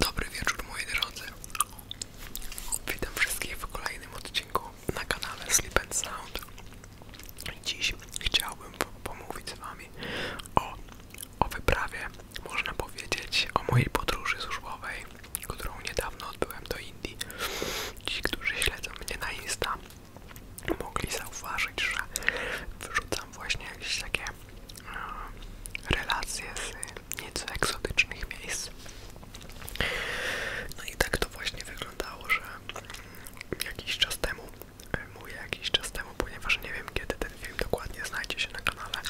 Dobry wieczór moi drodzy. Witam wszystkich w kolejnym odcinku na kanale Sleep and Sound. Dziś chciałbym pomówić z wami o, o wyprawie, można powiedzieć, o mojej podróży służbowej, którą niedawno odbyłem do Indii. Ci, którzy śledzą mnie na Insta, mogli zauważyć, że wyrzucam właśnie jakieś takie E, relacje z nieco egzotycznych miejsc. No i tak to właśnie wyglądało, że jakiś czas temu, e, mówię jakiś czas temu, ponieważ nie wiem kiedy ten film dokładnie znajdzie się na kanale,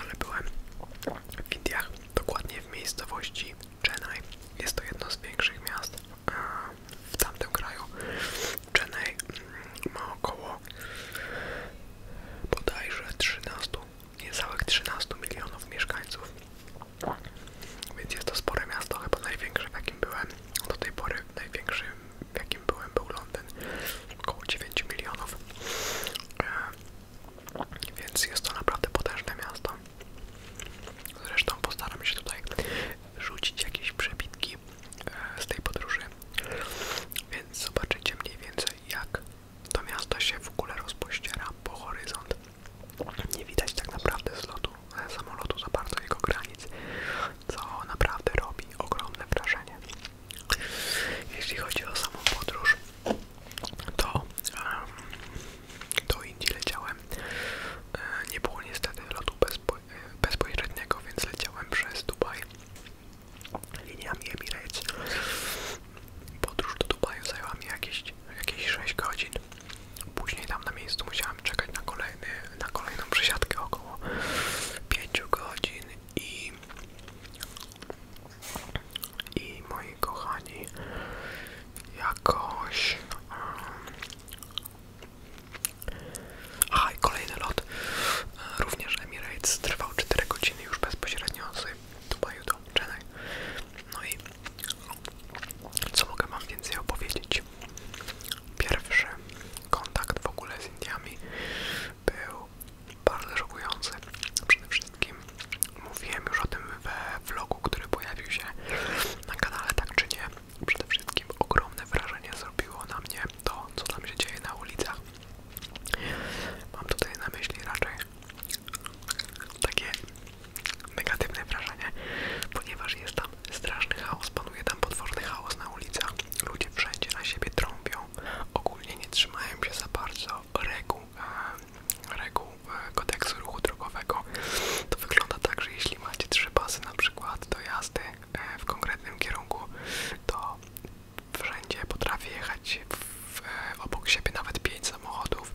ale byłem w Indiach, dokładnie w miejscowości Chennai. Jest to jedno z większych miast e, w tamtym kraju. Chennai ma około bodajże 13, niecałych 13 milionów mieszkańców. Więc jest to spore miasto, chyba największe w jakim byłem do tej pory, największym w jakim byłem był Londyn, około 9 milionów. E, więc jest to naprawdę potężne miasto. Zresztą postaram się tutaj rzucić jakieś przebitki e, z tej podróży, więc zobaczycie mniej więcej jak to miasto się w ogóle rozpościera po horyzont. Nie widać tak naprawdę z lotu samolotu za bardzo jego granic, co naprawdę robi ogromne wrażenie. Jeśli chodzi o samą podróż, to do Indii leciałem. E, nie było niestety lotu bezpo e, bezpośredniego, więc leciałem przez Dubaj liniami Emirates. Podróż do Dubaju zajęła mi jakieś, jakieś 6 godzin. Później tam na miejscu musiałem czekać na, kolejny, na kolejną przesiadkę około 5 godzin i, i moi kochani jakoś... Um, Aha, kolejny lot również Emirates trwał 4 godziny odwiedziny już bezpośrednio z Dubaju do Chennai. No i co mogę Wam więcej opowiedzieć? Pierwszy kontakt w ogóle z Indiami był bardzo żokujący. Przede wszystkim mówiłem już o tym we vlogu, który pojawił się na kanale, tak czy nie. Przede wszystkim ogromne wrażenie zrobiło na mnie to, co tam się dzieje na ulicach. Mam tutaj na myśli raczej takie negatywne wrażenie, ponieważ jest tam straszny chaos, panuje tam potworny chaos na ulicach. Ludzie wszędzie na siebie trąbią, ogólnie nie trzymają się za bardzo reguł, e, reguł e, kodeksu ruchu drogowego. To wygląda tak, że jeśli macie trzy pasy na przykład do jazdy e, w konkretnym kierunku, to wszędzie potrafi jechać obok siebie nawet pięć samochodów,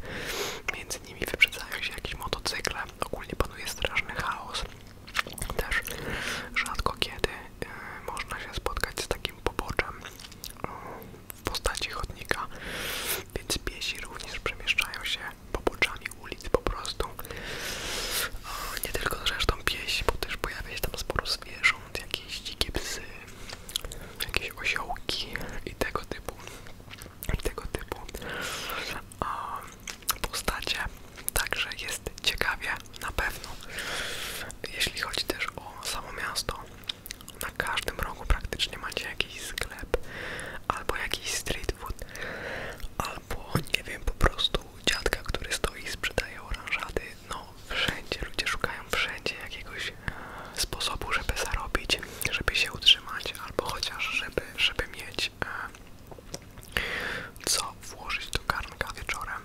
między nimi wyprzedzają się jakieś motocykle, ogólnie panuje straszny chaos. Też rzadko kiedy e, można się spotkać z takim poboczem e, w postaci chodnika, więc piesi również przemieszczają się poboczami ulic po prostu. E, nie tylko zresztą piesi, bo też pojawia się tam sporo zwierząt, jakieś dzikie psy, jakieś osiołki i tego typu tego typu postacie. Także jest ciekawie na pewno. Jeśli chodzi też o samo miasto, na każdym rogu praktycznie macie jakiś sklep, albo jakiś street food, albo nie wiem, po prostu dziadka, który stoi i sprzedaje oranżady no wszędzie, ludzie szukają wszędzie jakiegoś e, sposobu, żeby zarobić, żeby się utrzymać, albo chociaż żeby, żeby mieć e, co włożyć do garnka wieczorem.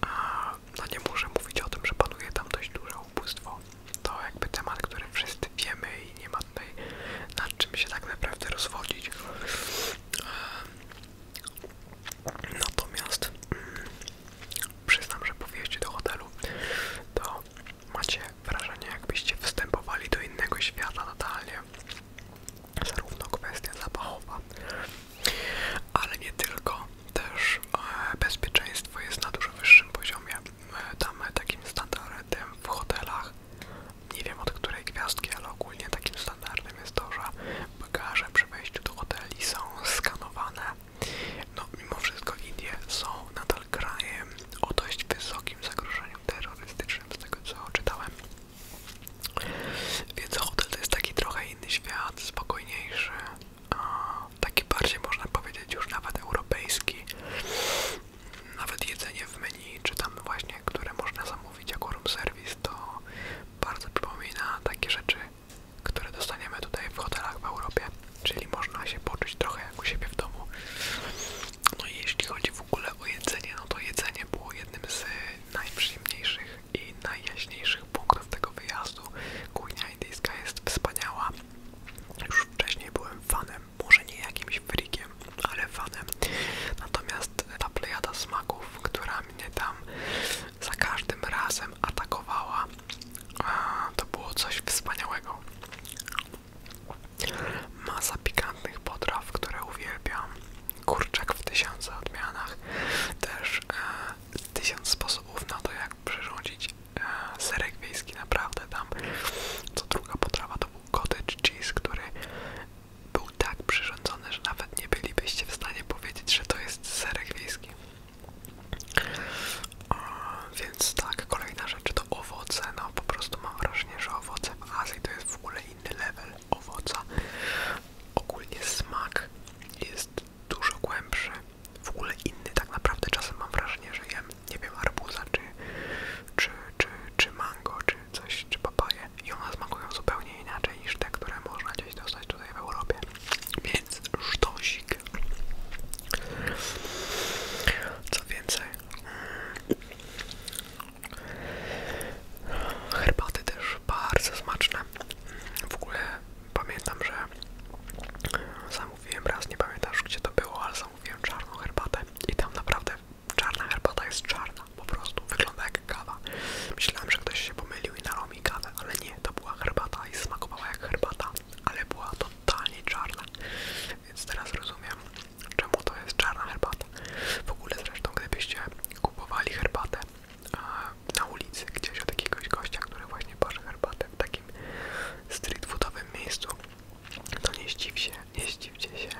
A, no nie muszę mówić o tym, że panuje tam dość duże ubóstwo. To jakby temat, który wszyscy wiemy i nie ma tutaj nad czym się tak naprawdę rozwodzić. E, Natomiast mm, przyznam, że po wejściu do hotelu to macie wrażenie, jakbyście wstępowali do innego świata totalnie. Zarówno kwestia zapachowa, ale nie tylko. Też e, bezpieczeństwo jest na dużo wyższym poziomie. E, tam e, takim standardem w hotelach, nie wiem od której gwiazdki, ale ogólnie takim standardem jest to, że bagaże przy wejściu do hoteli są skanowane no, mimo wszystko Indie są nadal krajem o dość wysokim zagrożeniu terrorystycznym, z tego co czytałem. Więc hotel to jest taki trochę inny świat, spokojniejszy, taki bardziej można powiedzieć już nawet europejski. Nawet jedzenie w menu, czy tam właśnie, które można zamówić jako room service, to bardzo przypomina takie rzeczy które dostaniemy tutaj w hotelach w Europie, czyli można się poczuć trochę jak u siebie w domu. No i jeśli chodzi w ogóle o jedzenie, no to jedzenie było jednym z y, najprzyjemniejszych i najjaśniejszych punktów tego wyjazdu. Kuchnia indyjska jest wspaniała. Już wcześniej byłem fanem, może nie jakimś frikiem, ale fanem. Natomiast ta plejada smaków, która mnie tam za każdym razem atakowała, to było coś wspaniałego. Masa pikantnych potraw, które uwielbiam. Kurczak w tysiącach odmianach. Też e, tysiąc sposobów na to, jak przyrządzić e, serek wiejski. Naprawdę tam. Co druga potrawa to był cottage cheese, który był tak przyrządzony, że nawet nie bylibyście w stanie powiedzieć, że to jest serek wiejski. Więc tak, kolejna rzecz to owoce. No po prostu mam wrażenie, że owoce w Azji to jest w ogóle inny level owoca. Ogólnie smak jest dużo głębszy, w ogóle inny tak naprawdę. Czasem mam wrażenie, że jem, nie wiem, arbuza czy, czy, czy, czy mango, czy coś, czy papaje i ona smakują zupełnie inaczej niż te, które można gdzieś dostać tutaj w Europie więc sztosik. Co więcej, herbaty też bardzo smaczne. W ogóle pamiętam, że zamówiłem raz, nie pamiętasz gdzie to było, ale zamówiłem czarną herbatę i tam naprawdę czarna herbata jest czarna, po prostu wygląda jak kawa. Myślałem, że ktoś się pomylił i nalał ale nie, to była herbata i smakowała jak herbata, ale była totalnie czarna, więc teraz rozumiem, czemu to jest czarna herbata. W ogóle zresztą, gdybyście kupowali herbatę na ulicy gdzieś od jakiegoś gościa, który właśnie parzy herbatę w takim street foodowym miejscu, to nie zdziwcie, nie zdziwcie się,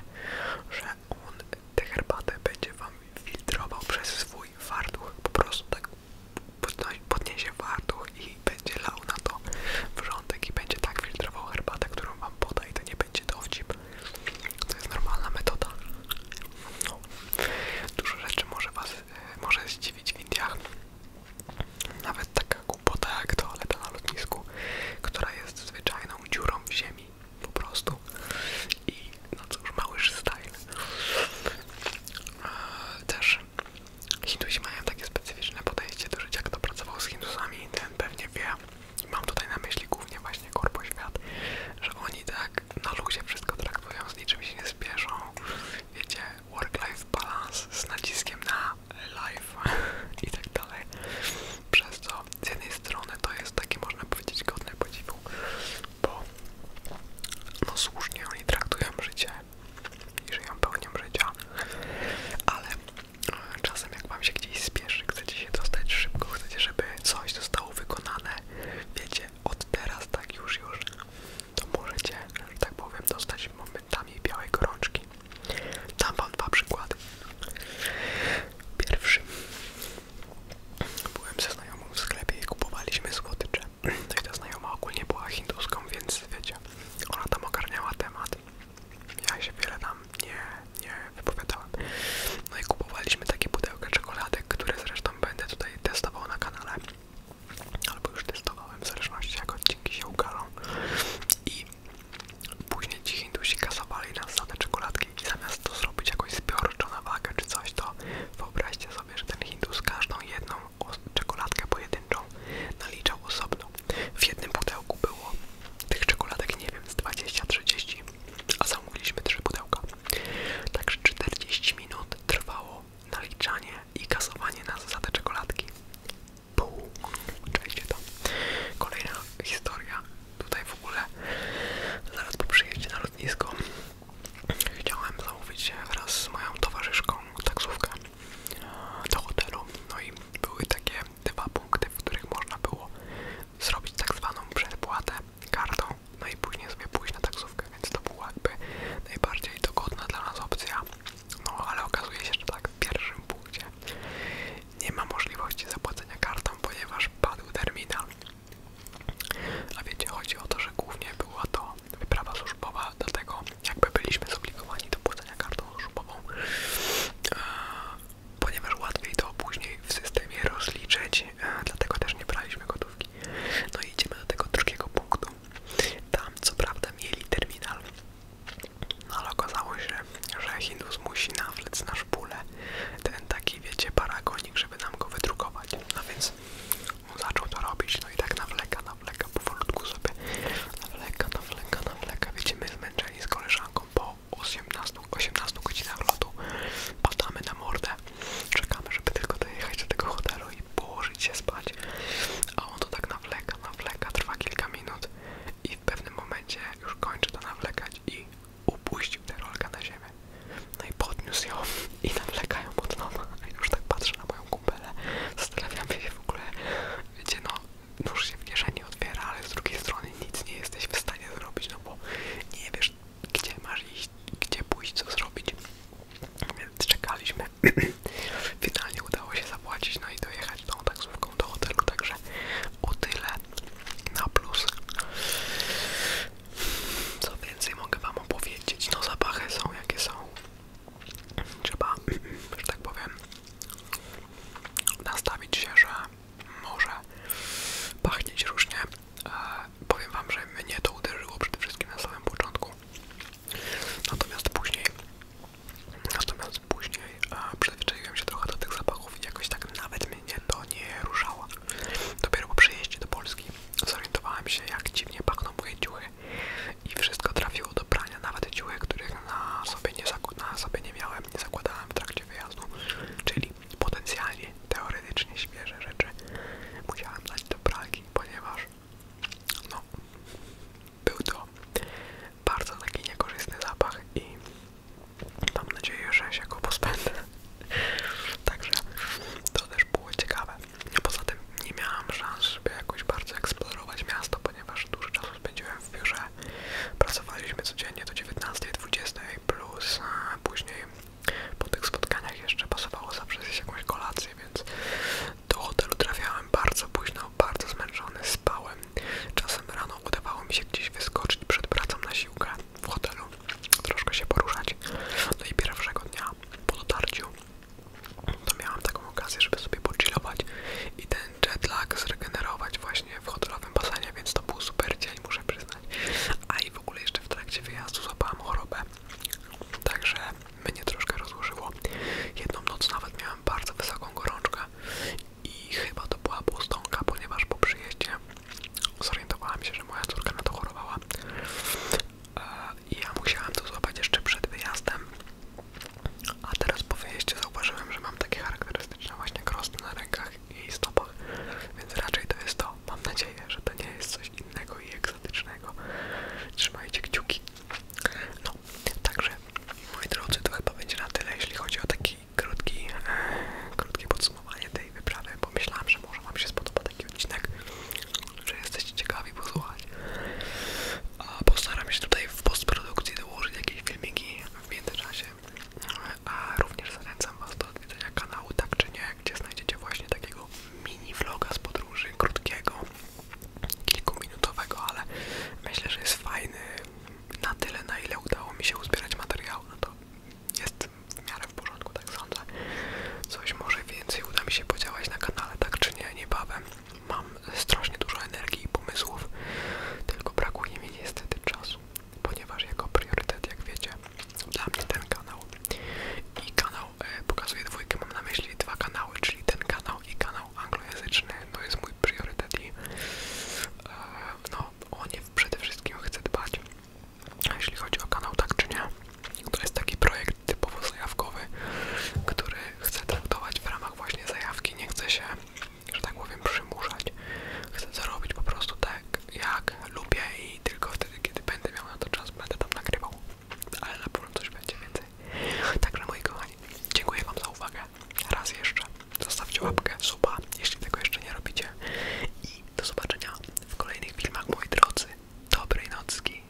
że on tę herbatę będzie wam filtrował przez swój fartuch, po prostu tak podniesie fartuch i będzie lał na to wrzątek i będzie tak filtrował herbatę, którą wam poda i to nie będzie dowcip. To jest normalna metoda. No. Dużo rzeczy może was e, może zdziwić w Indiach. Nawet taka głupota jak toaleta na lotnisku, która jest zwyczajną dziurą w ziemi po prostu. I no cóż, mały style. E, też Hindusi mają takie specyficzne podejście do życia, kto pracował z Hindusami, ten pewnie wie. Mam tutaj na myśli głównie właśnie korpo świat, że oni tak na luzie wszystko traktują, z niczym się nie spieszą. Wiecie, work-life balance z naciskiem na life i tak dalej. Przez co z jednej strony to jest takie, można powiedzieć, godne podziwu, bo no słusznie oni traktują życie i żyją pełnią życia, ale e, czasem jak wam się gdzieś spieszy, chcecie się dostać szybko, chcecie, żeby coś zostało wykonane, wiecie, od teraz tak już, już, to możecie, że tak powiem, dostać momentami białej gorączki. Dam wam dwa przykłady. Pierwszy. Byłem ze znajomą w sklepie i kupowaliśmy słodycze to i ta znajoma ogólnie była hinduską, więc wiecie, ona tam ogarniała temat. Ja się wiele tam nie, nie wypowiadałem. No i kupowaliśmy takie pudełka czekoladek, które zresztą będę tutaj testował na kanale. Albo już testowałem, w zależności jak odcinki się ukalą. I później ci Hindusi kasowali nas za czekoladki i zamiast to zrobić jakoś zbiorczo na wagę czy coś, to wyobraźcie sobie, że ten Hindus każdą jedną czekoladkę pojedynczą naliczał osobno. W jednym pudełku było tych czekoladek, nie wiem, z 20-30, a zamówiliśmy 3 pudełka. Także 40 minut trwało naliczanie i kasowanie nas za te czekoladki. Pół. Oczywiście to. Kolejna historia. Tutaj w ogóle zaraz po przyjeździe na lotnisko Chciałem zamówić się wraz z moją towarzyszką taksówkę do hotelu. No i były takie dwa punkty, w których można było zrobić tak zwaną przedpłatę kartą, no i później sobie pójść na taksówkę, więc to była jakby najbardziej dogodna dla nas opcja. No ale okazuje się, że tak w pierwszym punkcie nie ma możliwości zapłacenia kartą, ponieważ padł terminal. A wiecie, chodzi o to, że głównie była to wyprawa służbowa, dlatego jakby byliśmy zobligowani do płacenia kartą służbową, e, ponieważ łatwiej to później w systemie rozliczyć, e, dlatego też nie braliśmy gotówki. No i idziemy do tego drugiego punktu. Tam co prawda mieli terminal, no ale okazało się, że Hindus musi nawlec nasz szpulę ten taki, wiecie, paragonik, żeby nam go wydrukować. No więc więc on zaczął to robić, no i tak nawleka, nawleka, powolutku sobie nawleka, nawleka, nawleka, wiecie, my zmęczeni z koleżanką po 18, 18 godzinach lotu padamy na mordę, czekamy, żeby tylko dojechać do tego hotelu i położyć się spać, a on to tak nawleka, nawleka, trwa kilka minut i w pewnym momencie już kończy to nawlekać i upuścił tę rolkę na ziemię. No i podniósł ją i ją pod nowa. A już tak patrzę na moją moją Zastanawiam się w ogóle, wiecie, no, nóż się w kieszeni otwiera, ale z drugiej strony nic nie jesteś w stanie zrobić, no bo nie wiesz, gdzie masz iść, gdzie pójść, co zrobić. Więc czekaliśmy. Finalnie udało się zapłacić, no i dojechać tą taksówką do hotelu, także o tyle na plus. Co więcej mogę wam opowiedzieć? No zapachy są jakie są trzeba, że tak powiem, nastawić się, że może pachnieć różnie. E, powiem Wam, że mnie to uderzyło przede wszystkim na samym początku. Natomiast później, natomiast później e, przyzwyczaiłem się trochę do tych zapachów i jakoś tak nawet mnie to nie ruszało. Dopiero po przyjeździe do Polski zorientowałem się, jak dziwnie pachną moje ciuchy i wszystko trafiło do prania, nawet ciuchy, których na sobie, nie na sobie nie miałem, nie zakładałem w trakcie wyjazdu, czyli potencjalnie, teoretycznie świeże rzeczy musiałem dać do pralki, ponieważ no, był to bardzo taki niekorzystny zapach i mam nadzieję, że się go pozbędę. Także to też było ciekawe. Poza tym nie miałam szans, żeby jakoś bardzo eksplorować miasto, ponieważ dużo czasu spędziłem w biurze. Pracowaliśmy codziennie do 19.20 plus później po tych spotkaniach jeszcze pasowało zawsze zjeść jakąś kolację, więc do hotelu trafiałem bardzo późno, bardzo zmęczony, spałem. Czasem rano udawało mi się gdzieś wyskoczyć przed pracą na siłkę w hotelu, troszkę się poruszać. No i pierwszego dnia po dotarciu to miałam taką okazję, żeby sobie pochillować i ten jetlag zregenerować właśnie w hotelowym basenie, więc to był super dzień, muszę przyznać. A i w ogóle jeszcze w trakcie wyjazdu złapałam chorobę, także mnie troszkę rozłożyło. Jedną noc nawet miałam bardzo wysoką gorączkę i chyba to była błostonka, ponieważ po przyjeździe zorientowałam się, że moja córka na to chorowała ja musiałem to złapać jeszcze przed wyjazdem, a teraz po wyjeździe zauważyłem, że mam takie charakterystyczne właśnie krosty na rękach i stopach, więc raczej to jest to. Mam nadzieję, że to nie jest coś innego i egzotycznego. Trzymajcie kciuki. No, także moi drodzy, to chyba będzie na tyle, jeśli chodzi o taki krótki, e, podsumowanie tej wyprawy, bo myślałam, że może Wam się spodoba taki odcinek, że jesteście ciekawi posłuchać. A postaram się tutaj w postprodukcji dołożyć jakieś filmiki w A również zachęcam Was do odwiedzenia kanału Tak czy Nie, gdzie znajdziecie właśnie takiego mini vloga z podróży, krótkiego, kilkuminutowego, ale myślę, że jest fajny na tyle, na ile udało mi się uzbierać materiału. No to jest w miarę w porządku, tak sądzę. Coś może więcej uda mi się podziałać na kanale, tak czy nie, niebawem. Mam strasznie dużo energii i pomysłów, tylko brakuje mi niestety czasu, ponieważ jako priorytet, jak wiecie, dla mnie ten kanał i kanał e, pokazuję pokazuje dwójkę, mam na myśli dwa kanały, czyli ten kanał i kanał anglojęzyczny, to jest mój priorytet i e, no, o nie przede wszystkim chcę dbać, jeśli chodzi o kanał tak czy nie. To jest taki projekt typowo zajawkowy, który chcę traktować w ramach właśnie zajawki. Nie chcę się, że tak powiem, przymuszać. Chcę zarobić po prostu tak, jak lubię i tylko wtedy, kiedy będę miał na to czas, będę tam nagrywał. Ale na pewno coś będzie więcej. Także moi kochani, dziękuję wam za uwagę. Raz jeszcze zostawcie łapkę, suba, jeśli tego jeszcze nie robicie. I do zobaczenia w kolejnych filmach, moi drodzy. Dobrej nocki.